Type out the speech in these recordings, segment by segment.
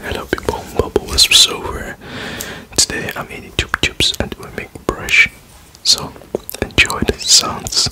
Hello people, Bubble Wisps over. Today I'm eating Chup Chups and we make brush. So enjoy the sounds.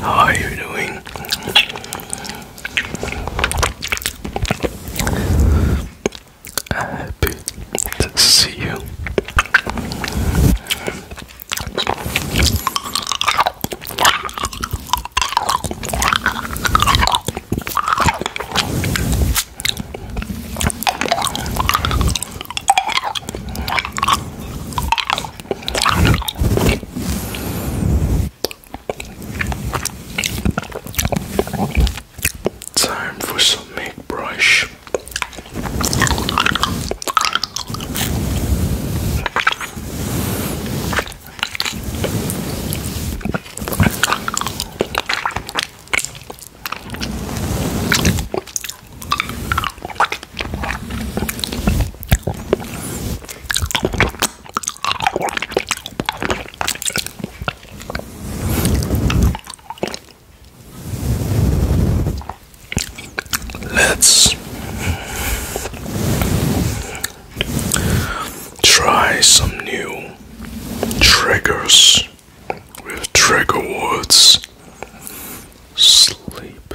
How are you doing? Happy to see you. Time for some make brush. Let's try some new triggers with trigger words sleep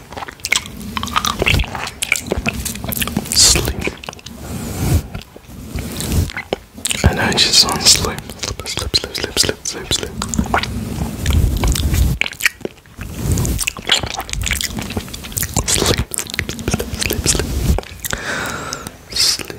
Sleep. And I just want Sleep, sleep, sleep, sleep, sleep, sleep, sleep. Sleep, sleep, sleep, sleep. Sleep.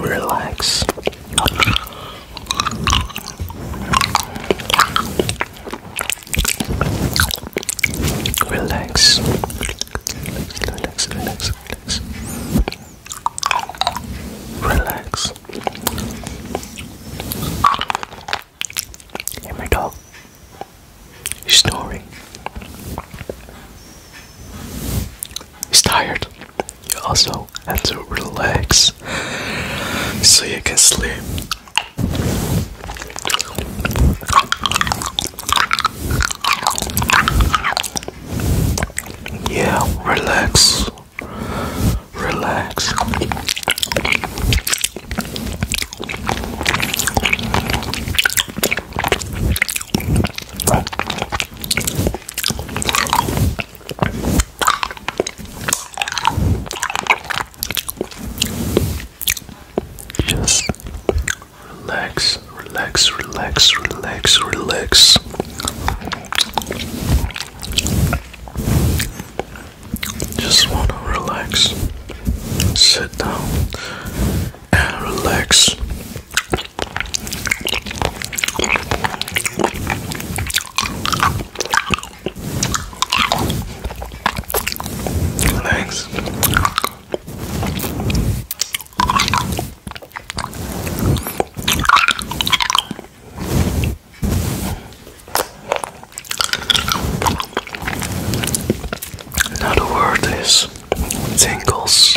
relax. Relax. Relax, relax, relax, relax. Relax. my dog. He's snoring. He's tired, you also have to relax so you can sleep. Yeah, relax. Relax. Just relax, relax, relax, relax, relax. Just want to relax, sit down, and relax. Thanks. Another word is tingles.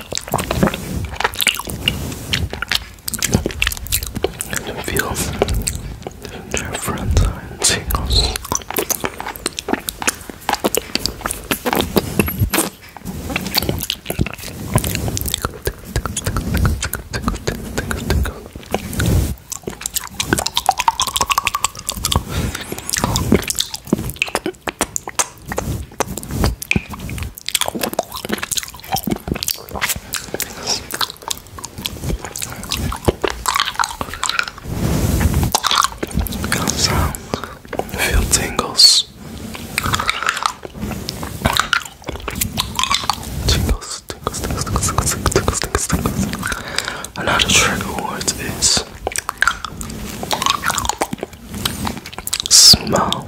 I feel their friends singles. Kind of sound. You tingles. Tingles, tingles, tingles, tingles, tingles, tingles, tingles. Another trigger word is smell.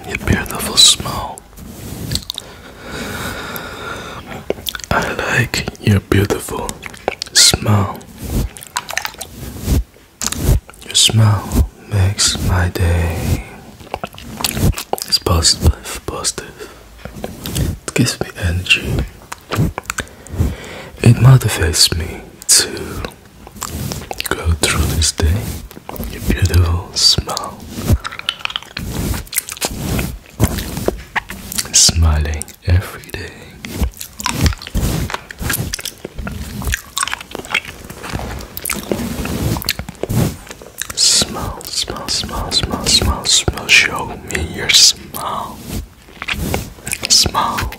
Your beautiful smell. I like your beautiful smell. Your smile makes my day. It's positive, positive. It gives me energy. It motivates me to go through this day. Your beautiful smile. Smiling every day. Smile, smile, smile, smile, smile, smile. Show me your smile. Smile.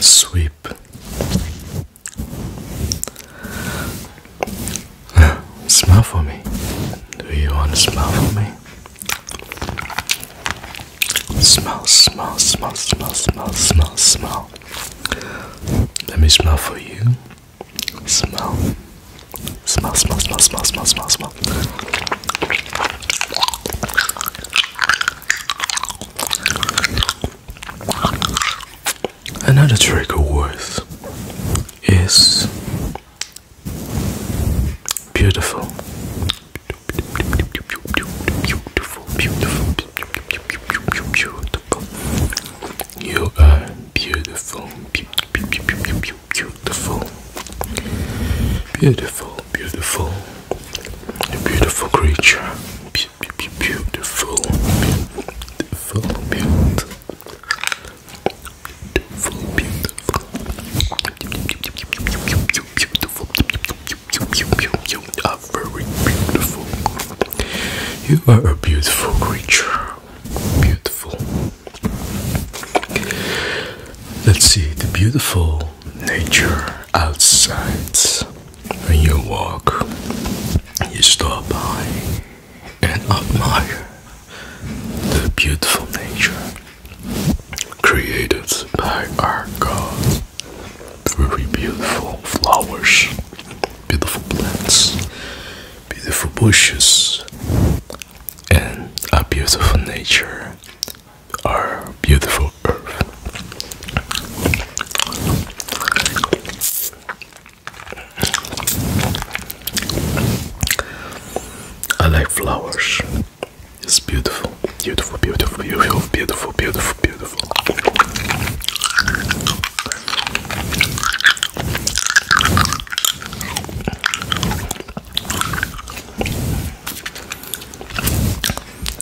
sweep smell for me do you want to smell for me smell smell smell smell smell smell smell let me smell for you smell smell smell smell smell smell smell smell Another trigger word is beautiful. Beautiful, beautiful, beautiful, beautiful. You are beautiful, beautiful, beautiful, beautiful, beautiful. A beautiful creature. beautiful. Beautiful. Beautiful. Beautiful. Beautiful. Beautiful. You are very beautiful. You are a beautiful creature. Beautiful. Let's see the beautiful nature outside. When you walk, you stop by and admire the beautiful nature created by our God. Very beautiful flowers, beautiful plants, beautiful bushes, and a beautiful nature our beautiful earth. I like flowers. It's beautiful, beautiful, beautiful, beautiful, beautiful, beautiful, beautiful.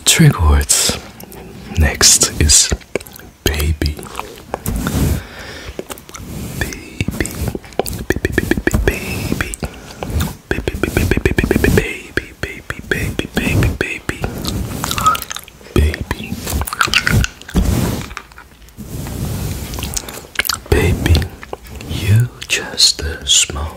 Trigger words. Next is baby. Baby, baby, baby. Baby, baby, baby, baby, baby, baby, baby, baby, baby. Baby. Baby, you just a small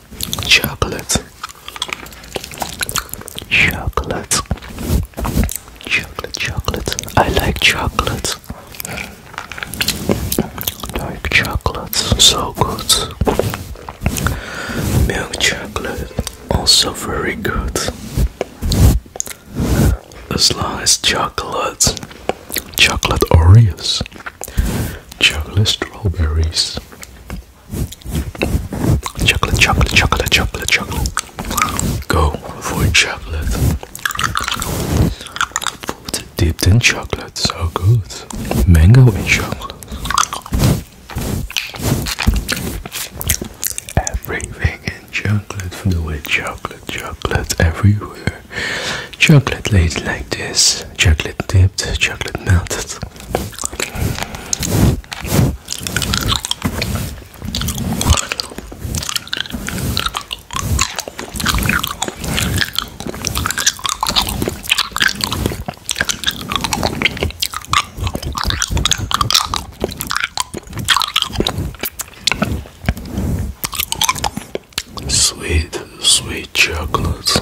chocolate, chocolate, chocolate, chocolate. I like chocolate. Dark chocolate, so good. Milk chocolate, also very good. As long as chocolate, chocolate Oreos, chocolate strawberries, Chocolate, chocolate, chocolate, chocolate, chocolate. Go for chocolate. Food dipped in chocolate, so good. Mango in chocolate. Everything in chocolate, filled with chocolate, chocolate everywhere. Chocolate laid like this, chocolate dipped, chocolate melted. Sweet, sweet chocolate.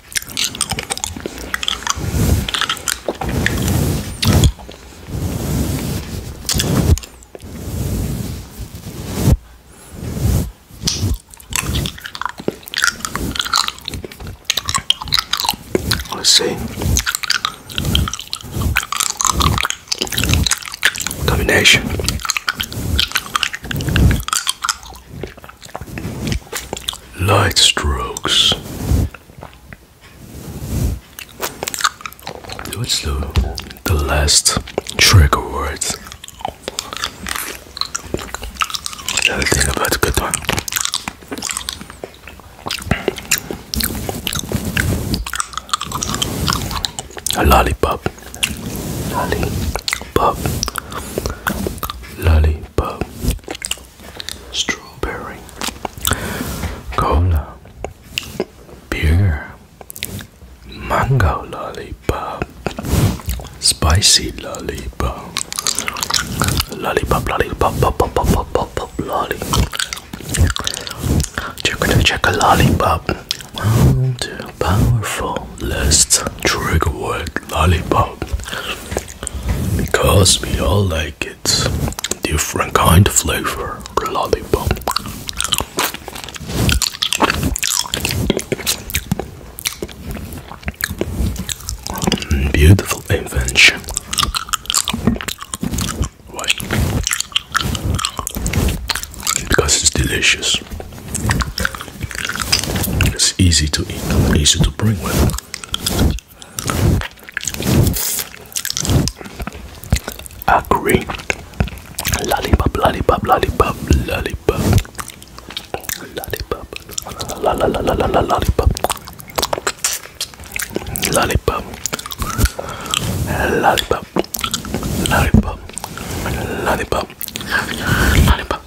Let's see. Combination. Light strokes. What's the the last trigger word? Another thing about a good one. A lollipop. Lollipop. Lollipop strawberry, cola, beer, mango lollipop, spicy lollipop, lollipop, lollipop, pop, pop, pop, pop, pop, lolly. Check check a lollipop. One, two, powerful. Let's trigger word lollipop because we all like it. Different kind of flavor, lollipop. Mm, beautiful invention. Why? Because it's delicious. It's easy to eat, easy to bring with. Agree. Lollipop, lollipop, lollipop, lollipop. Lollipop. La la la la la la lollipop. Lollipop. Lollipop. Lollipop. Lollipop. Lollipop.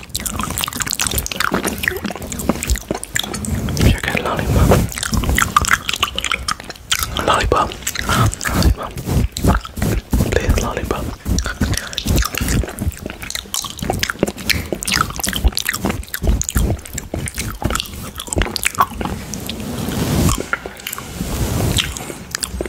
Sugar lollipop. Lollipop. Lollipop. Please lollipop.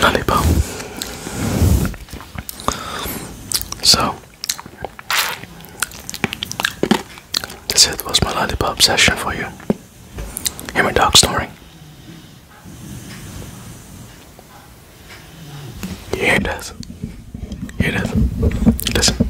lollipop. So, that's it. Was my lollipop session for you? Hear my dog snoring. You hear this? You hear Listen.